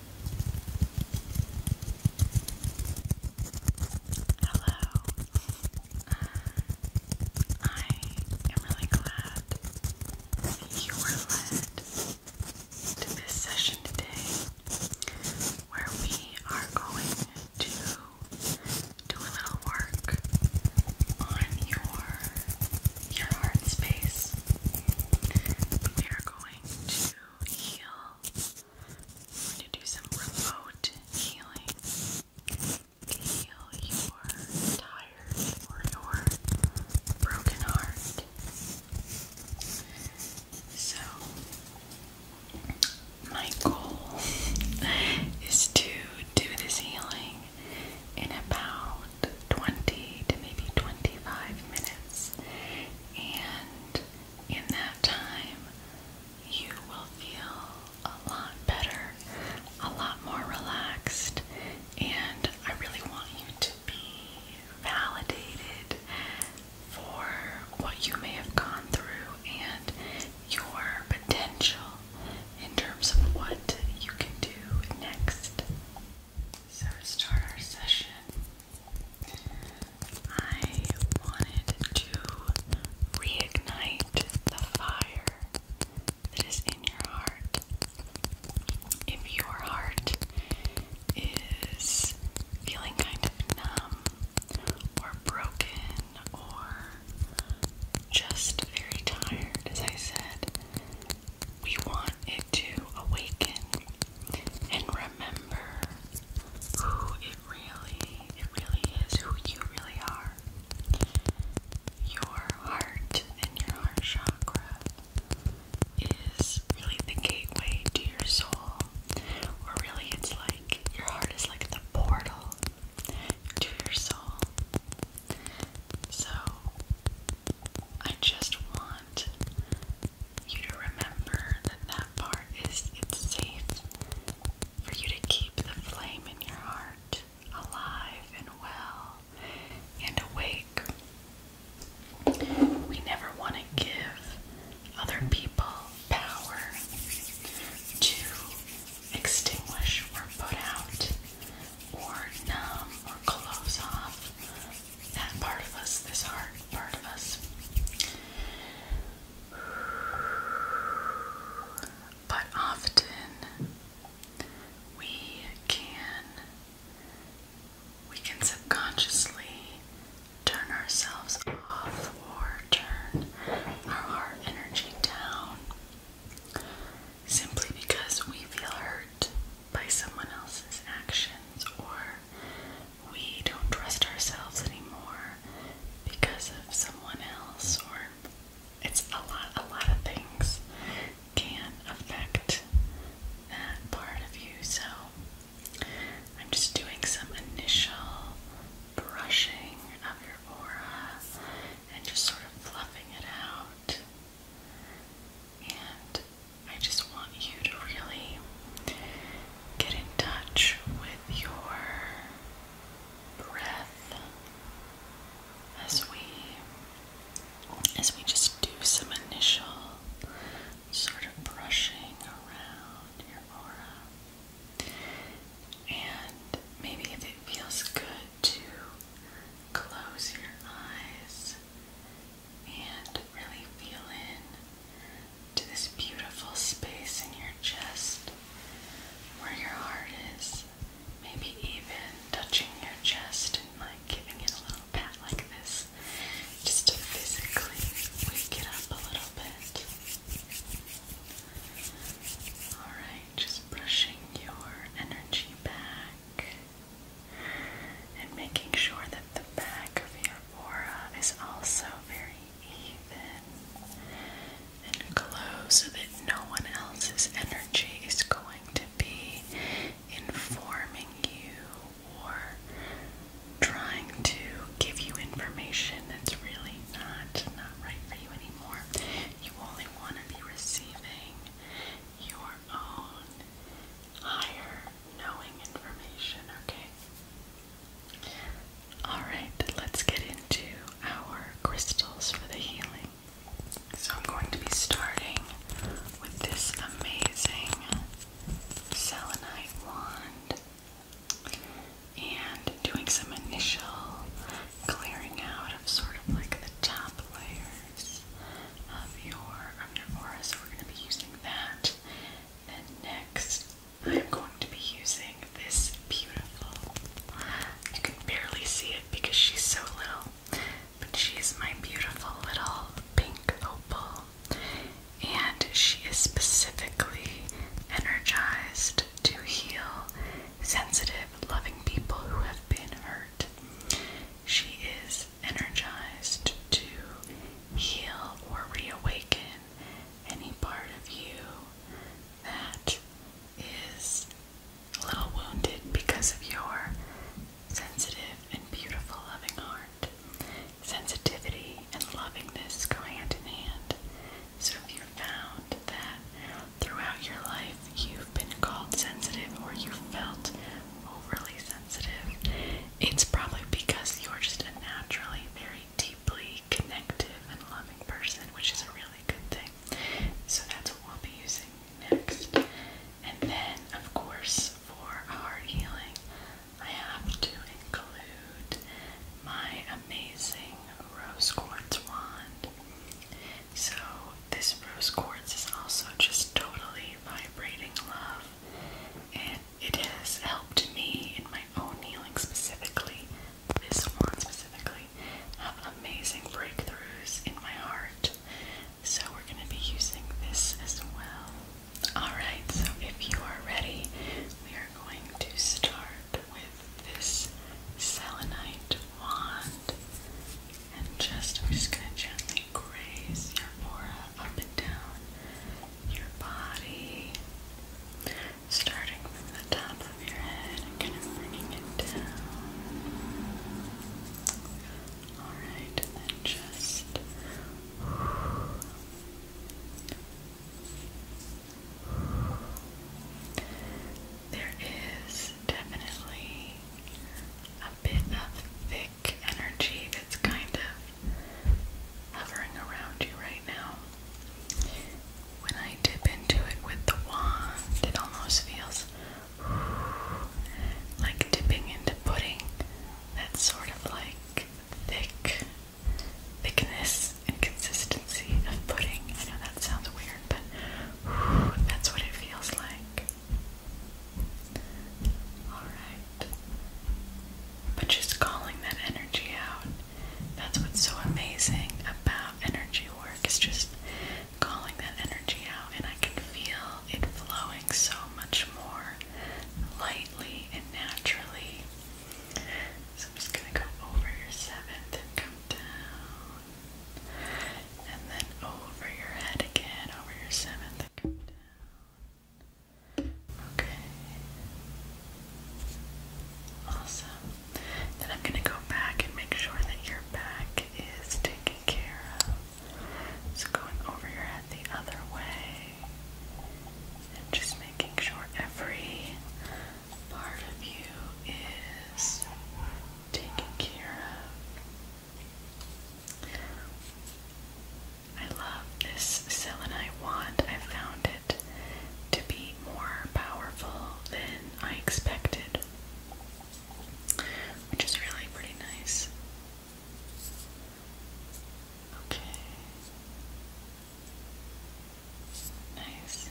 Hello. I am really glad that you were led to this session today where we are going to do a little work on your your heart space. We are going to heal. we going to do some remote healing. Heal your tired or your broken heart. So, my goal is to do this healing in about 20 to maybe 25 minutes and in that time, you will feel a lot better, a lot more relaxed, and I really want you to be validated for what you may have gone through and your potential in terms of what you can do next. So to start our session, I wanted to reignite the fire that is in your heart. If your heart is feeling kind of numb or broken or just very tired, as I said, we want it to awaken and remember who it really, it really is, who you really are. Your heart and your heart chakra is really the gateway to your soul. Or really it's like your heart is like the portal to your soul. So I just want you to remember that that part is it's safe for you to keep the flame in your heart alive and well and awake. We never want to give other people power to extinguish or put out or numb or close off that part of us, this heart part of us. But often we can we can subconsciously turn ourselves off or turn our heart energy down simply because we feel hurt by someone else's actions, or we don't trust ourselves anymore because of someone else, or it's a lot, a lot of things can affect that part of you. So I'm just doing some initial brushing of your aura and just sort of fluffing it out. And I just want you to really get in touch with your breath as we as we just do some initial sort of brushing around your aura. And maybe if it feels good to close your eyes and really feel in to this beautiful space in your chest where your heart is. Maybe even touching your chest and like giving it a little pat like this just to physically wake it up a little bit. Alright, just brushing your energy back and making sure that the back of your aura is also very even and close so that no one else's energy is going to be informing you or trying to give you information that's really not not right for you anymore. You only want to be receiving your own higher knowing information, okay? Alright, let's get into our crystals for the healing. So I'm going to be starting with this amazing selenite wand and doing some initial clearing out of sort of like the top layer of your of your aura. So we're going to be using that. Then next, I'm going to be using this beautiful. You can barely see it because she's so little, but she's my beautiful little pink opal. And she is specifically energized to heal sensitive, loving people who have been hurt. She is energized to heal or reawaken any part of you that is a little wounded because of your sensitive and beautiful loving heart. Sensitivity and lovingness go hand in hand. So if you found that throughout your life you've been called sensitive or you felt overly sensitive it's probably because you're just a naturally very deeply connected and loving person, which is a really good thing. So that's what we'll be using next. And then, of course, for heart healing, I have to include my amazing rose quartz wand. So, this rose quartz is also just totally vibrating love, and it has helped me in my own healing specifically. This one specifically have amazing breakthroughs in my heart, so we're going to be using this as well. Alright, so if you are ready, we are going to start with this selenite wand. And just, we're just going to gently graze your aura up and down your body, starting from the top of your head and kind of bringing it down. Alright, and just. There is definitely a bit of energy that's kind of hovering around you right now. When I dip into it with the wand, it almost feels like dipping into pudding. That's sort of like thick thickness and consistency of pudding. I know that sounds weird, but that's what it feels like. Alright. But just calling that energy out. That's what's so amazing about energy work, It's just calling that energy out, and I can feel it flowing so much more lightly and naturally. So I'm just gonna go over your seventh come down. And then over your head again, over your seventh Okay. Awesome. Then I'm going to go back and make sure that your back is taken care of. So going over your head the other way. And just making sure every part of you is taken care of. I love this selenite wand. I found it to be more powerful than I expected, which is really pretty nice. Okay. Nice.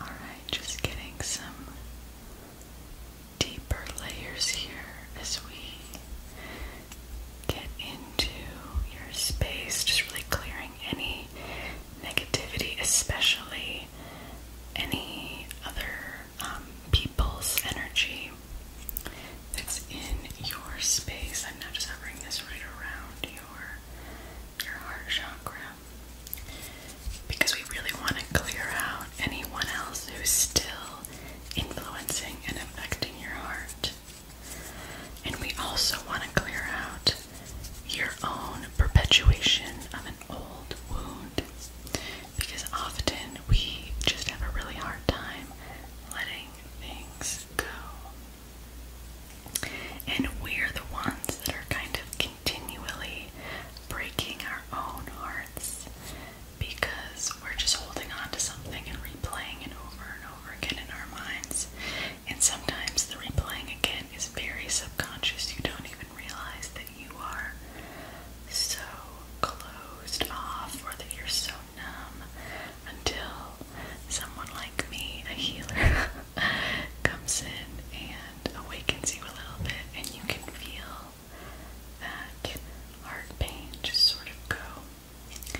Alright, just getting some deeper layers here as we get into your space, just really clearing any negativity, especially any other um, people's energy that's in your space. I'm not just hovering this right around your your heart chakra because we really want to clear out anyone else who's still influencing and affecting your heart. And we also want to clear out your own perpetuation of an old wound because often we just have a really hard time letting things go. And we're the ones that are kind of continually breaking our own hearts because we're just holding on to something and replaying it over and over again in our minds. And sometimes the replaying again is very subconscious. You don't even realize that you are so closed off or that you're so numb until someone like me, a healer, comes in and awakens you a little bit, and you can feel that heart pain just sort of go.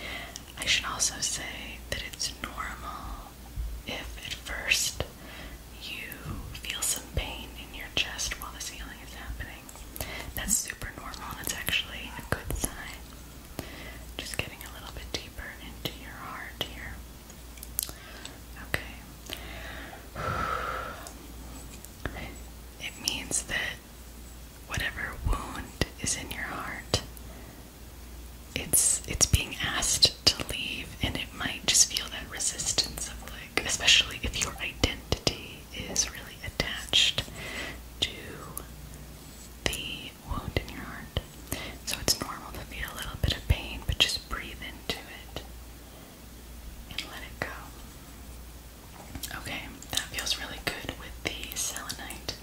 I should also say that it's normal if at first you feel some pain in your chest while the healing is happening. That's super normal, and it's actually a good sign. Just getting a little bit deeper into your heart here. Okay. It means that whatever wound is in your heart, it's it's being asked to leave and it might just feel that resistance of like especially if your identity is really attached to the wound in your heart. So it's normal to feel a little bit of pain, but just breathe into it and let it go. Okay, that feels really good with the selenite.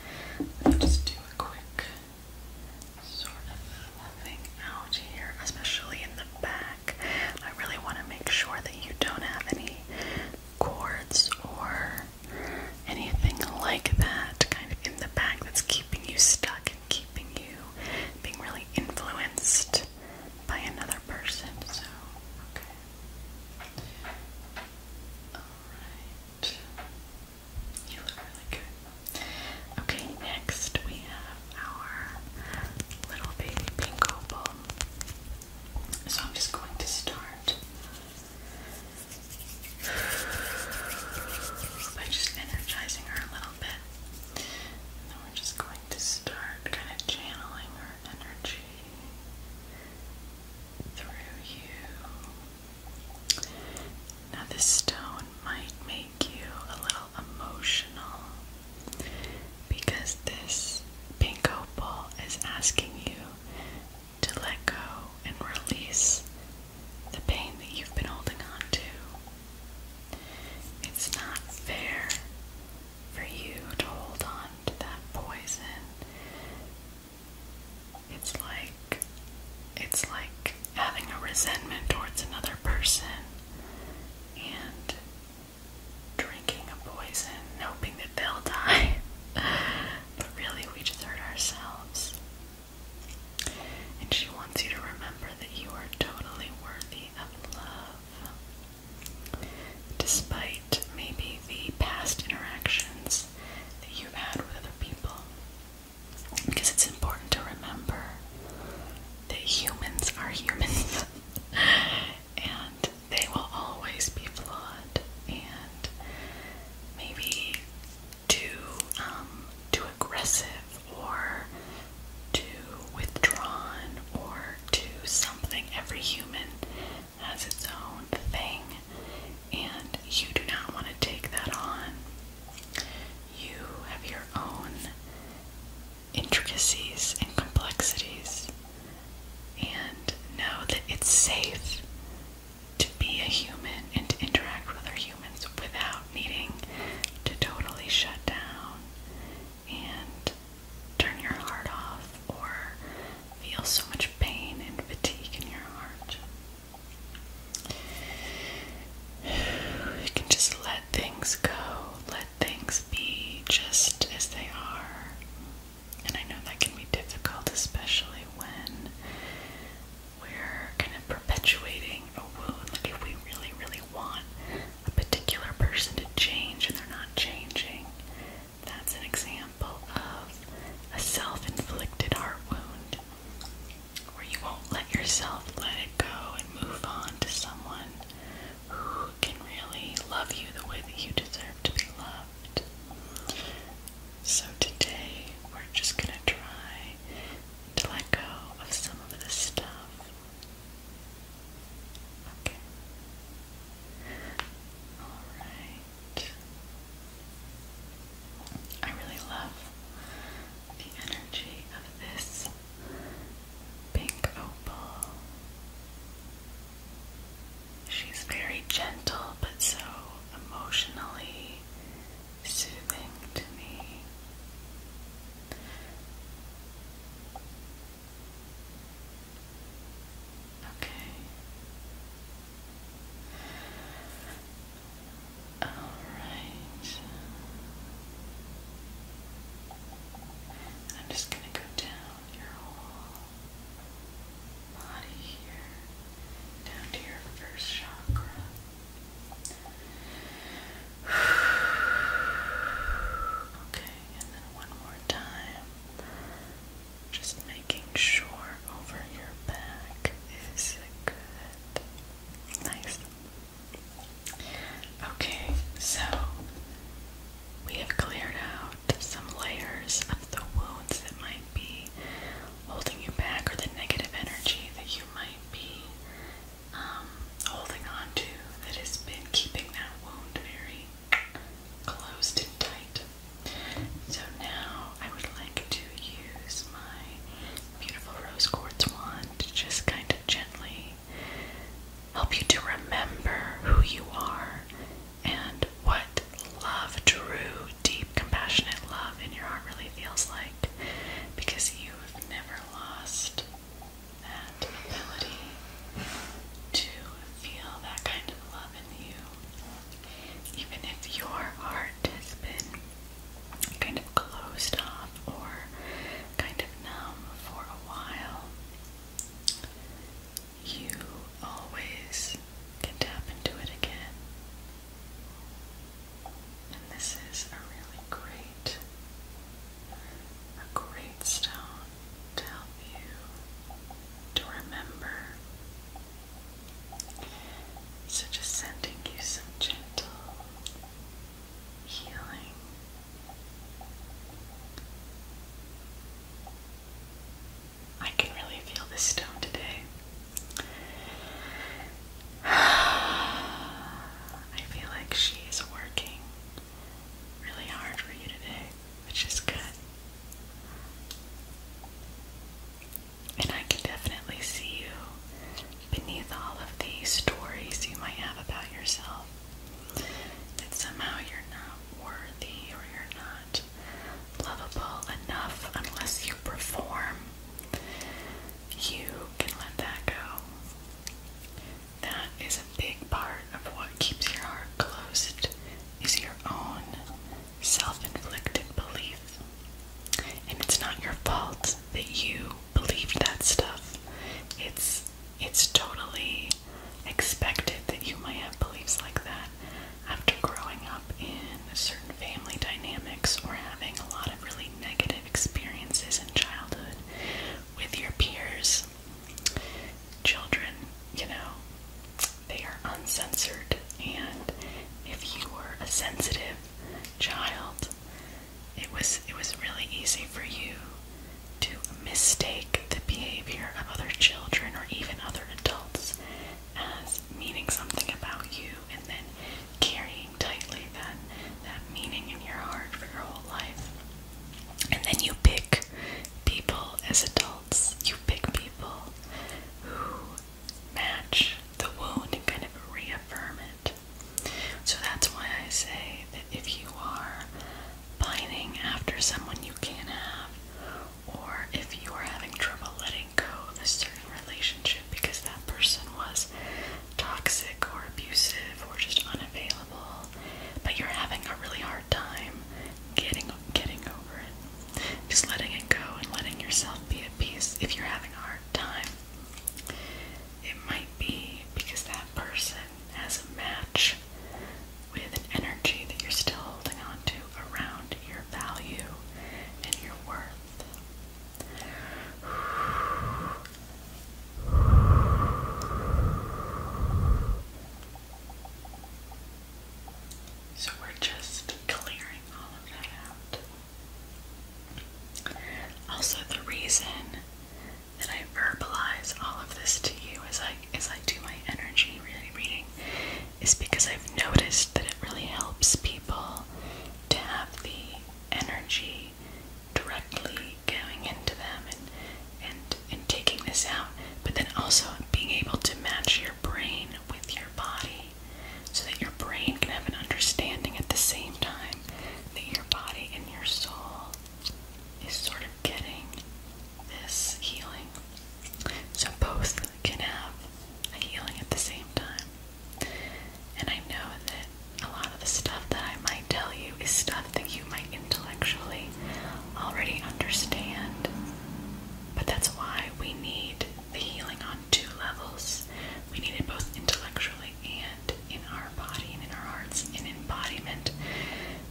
Let me just do a quick sort of loving out here, especially in the back. I really want to make sure that you don't have any cords or anything like that kind of in the back that's keeping you stuck keeping you being really influenced by another person. So, okay. Alright. You look really good. Okay, next we have our little baby pink opal. So I'm just going to start by just energizing her a little bit. then we're just going to start kind of channeling her energy through you. Now, this stone might make you a little emotional because this pink opal is asking you to let go and release the pain that you've been holding on to. It's not fair for you to hold on to that poison. It's like it's like having a resentment towards another person and drinking a poison hoping that they'll die. but really we just hurt ourselves. And she wants you to remember that you are totally worthy of love. Despite maybe the past interactions that you've had with other people. Because it's important to remember that humans are humans. and they will always be flawed. And maybe too um, too aggressive or too withdrawn or too something. Every human has its own thing, and you do not want to take that on. You have your own intricacies and complexities, and know that it's safe to be a human and to interact with other humans without needing to totally shut down and turn your heart off or feel so much pain and fatigue in your heart. You can just let things go, let things be just as they are. And I know that can be difficult, especially when we're kind of perpetuating a wound. Like if we really, really want a particular person to change and they're not changing, that's an example of a self-inflicted heart wound where you won't let yourself let it go and move on to someone who can really love you the way that you deserve to be loved. So today we're just going to try to let go of some of this stuff. Okay. Alright. I really love the energy of this pink opal. She's very gentle but so emotionally soothing to me. Okay. All right. I'm just going to go down your whole body here, down to your first chakra. Okay, and then one more time. Just making sure over your back is good. Nice. Okay, so we have cleared out some layers of the wounds that might be holding you back or the negative energy that you might be um, holding on to that has been keeping that wound very closed and tight. So now I would like to use my beautiful rose quartz wand to just kind of gently help you to remember who you are and what love, drew deep, compassionate love in your heart really feels like because you've never lost that ability to feel that kind of love in you. Even if your heart has been kind of closed off or kind of numb for a while, you always can tap into it again. And this is a really great, a great stone to help you to remember. So just sending you some gentle healing. I can really feel this stone today. I feel like she is working really hard for you today, which is good. And I can definitely see you beneath all of the stories you might have about yourself. That somehow you're not worthy or you're not lovable enough unless you perform, you can let that go. That is a big part of what keeps your heart closed is your own self-inflicted belief. And it's not your fault that you believed that stuff. It's it's totally expected that you might have beliefs like that after growing up in certain family dynamics or having a lot of really negative experiences in childhood with your peers, children, you know, they are uncensored. And if you were a sensitive child, it was it was really easy for you to mistake the behavior of other children or even other adults as meaning something about you and then carrying tightly that that meaning in your heart for your whole life. And then you pick people as adults. You pick people who match the wound and kind of reaffirm it. So that's why I say that if you are pining after someone you can't have or if you are having trouble letting go of a certain relationship because that person was toxic or abusive or just unavailable, but you're having a really hard time getting getting over it. Just letting it go and letting yourself be at peace if you're having a hard time. It might be because that person has a match with an energy that you're still holding on to around your value and your worth. So we're just clearing all of that out. Also, the reason that I verbalize all of this to you as I as I do my energy reading is because I've noticed that it really helps people to have the energy directly going into them and and and taking this out, but then also being able to match your brain with your body so that your brain can have an understanding at the same time that your body and your soul is sort of getting this healing. So both can have a healing at the same time. And I know that a lot of the stuff that I might tell you is stuff that you might intellectually already understand. But that's why we need the healing on two levels. We need it both intellectually and in our body and in our hearts in embodiment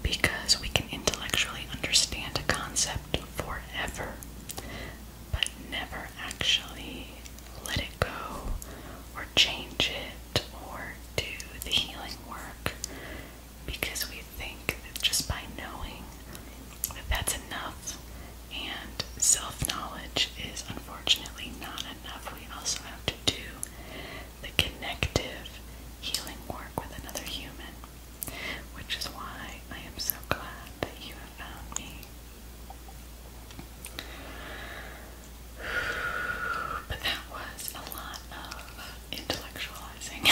because we can intellectually understand a concept forever but never actually let it go or change it or do the healing work because we think that just by knowing that that's enough and self knowledge is unfortunately not enough. We also have to do the connective healing work with another human which is why I am so glad that you have found me. But that was a lot of intellectualizing.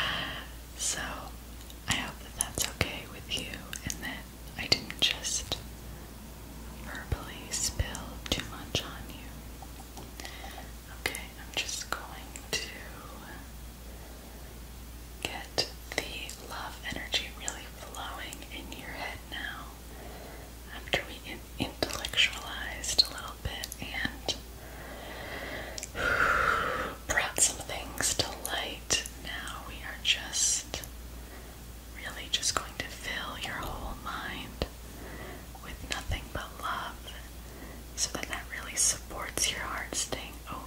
so I hope that that's okay with you and that I didn't just verbally spill too much on you. Okay, I'm just going to Get the love energy really flowing in your head now after we intellectualized a little bit and brought some things to light. Now we are just really just going to fill your whole mind with nothing but love so that that really supports your heart staying open.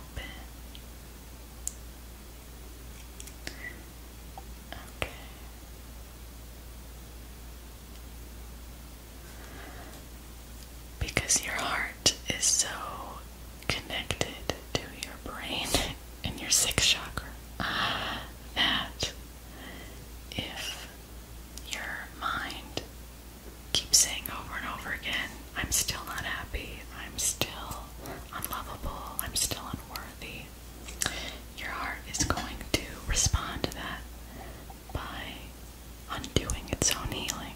Okay. Because your heart is so connected to your brain and your sixth chakra, that if your mind keep saying over and over again, I'm still not happy, I'm still unlovable, I'm still unworthy, your heart is going to respond to that by undoing its own healing.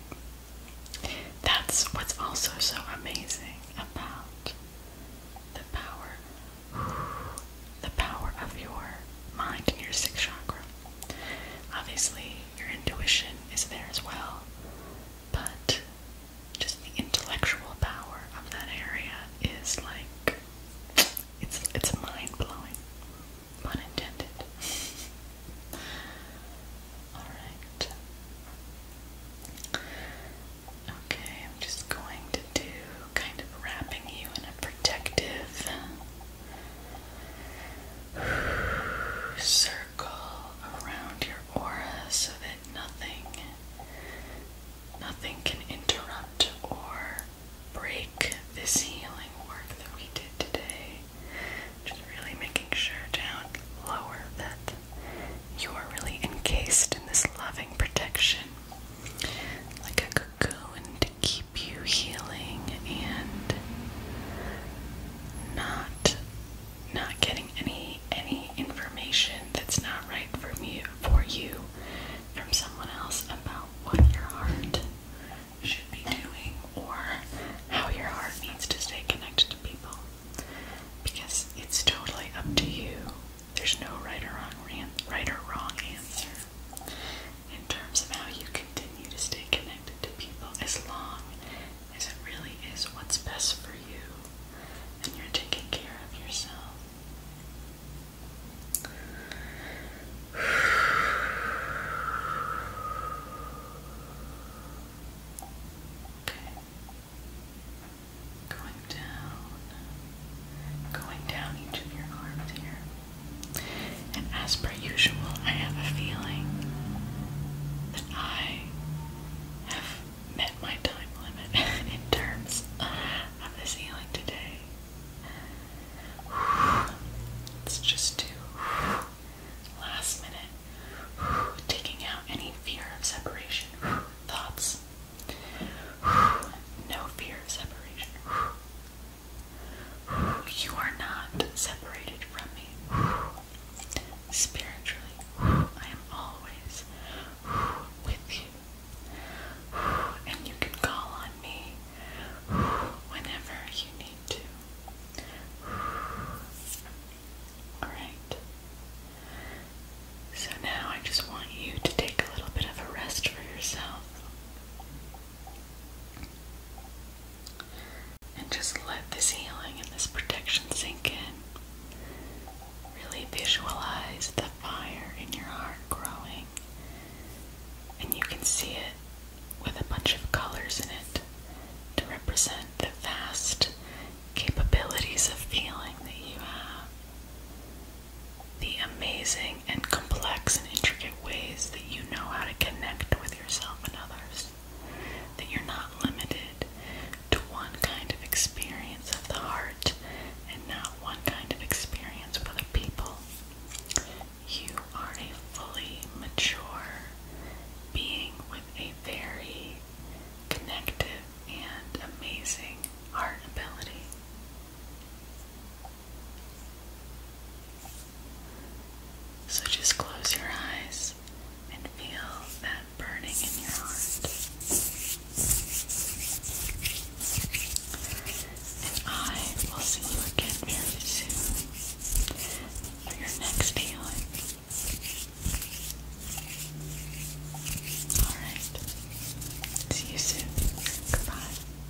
That's what's also so amazing about the power, the power of your mind and your sixth chakra. Obviously, your intuition is there as well, but just the intellectual power of that area is like it's it's mind blowing, pun intended. All right. Okay, I'm just going to do kind of wrapping you in a protective Circle around your aura so that nothing nothing can interrupt or break this healing work that we did today. Just really making sure down lower that you are really encased in this loving protection like a cocoon to keep keep you healing and not not getting any any information that's not right for me for you from someone else about what your heart should be doing or how your heart needs to stay connected to people because it's totally up to you. There's no right or wrong right or wrong answer in terms of how you continue to stay connected to people as long as it really is what's best for you and you're taking care of yourself. Okay. Going down, going down each of your arms here. And as per usual, I have a feeling that I have met my time limit in terms of the ceiling today. Let's just do last minute, taking out any fear of separation thoughts. No fear of separation. You are not separated from me. Spiritually, I am always with you. And you can call on me whenever you need to. Alright. So now I just want you to take a little bit of a rest for yourself and just let this healing and this protection sink in. Really visualize the fire in your heart growing, and you can see it with a bunch of colors in it to represent the vast capabilities of feeling that you have. The amazing and complex and intricate ways that you know how to connect with yourself and others. That you're not limited to one kind of experience of the heart and not one kind of experience with other people. You are a fully mature being with a very connective and amazing heart ability. So just close your eyes and feel that burning in your heart. And I will see you again very soon for your next healing. Alright. See you soon. Goodbye.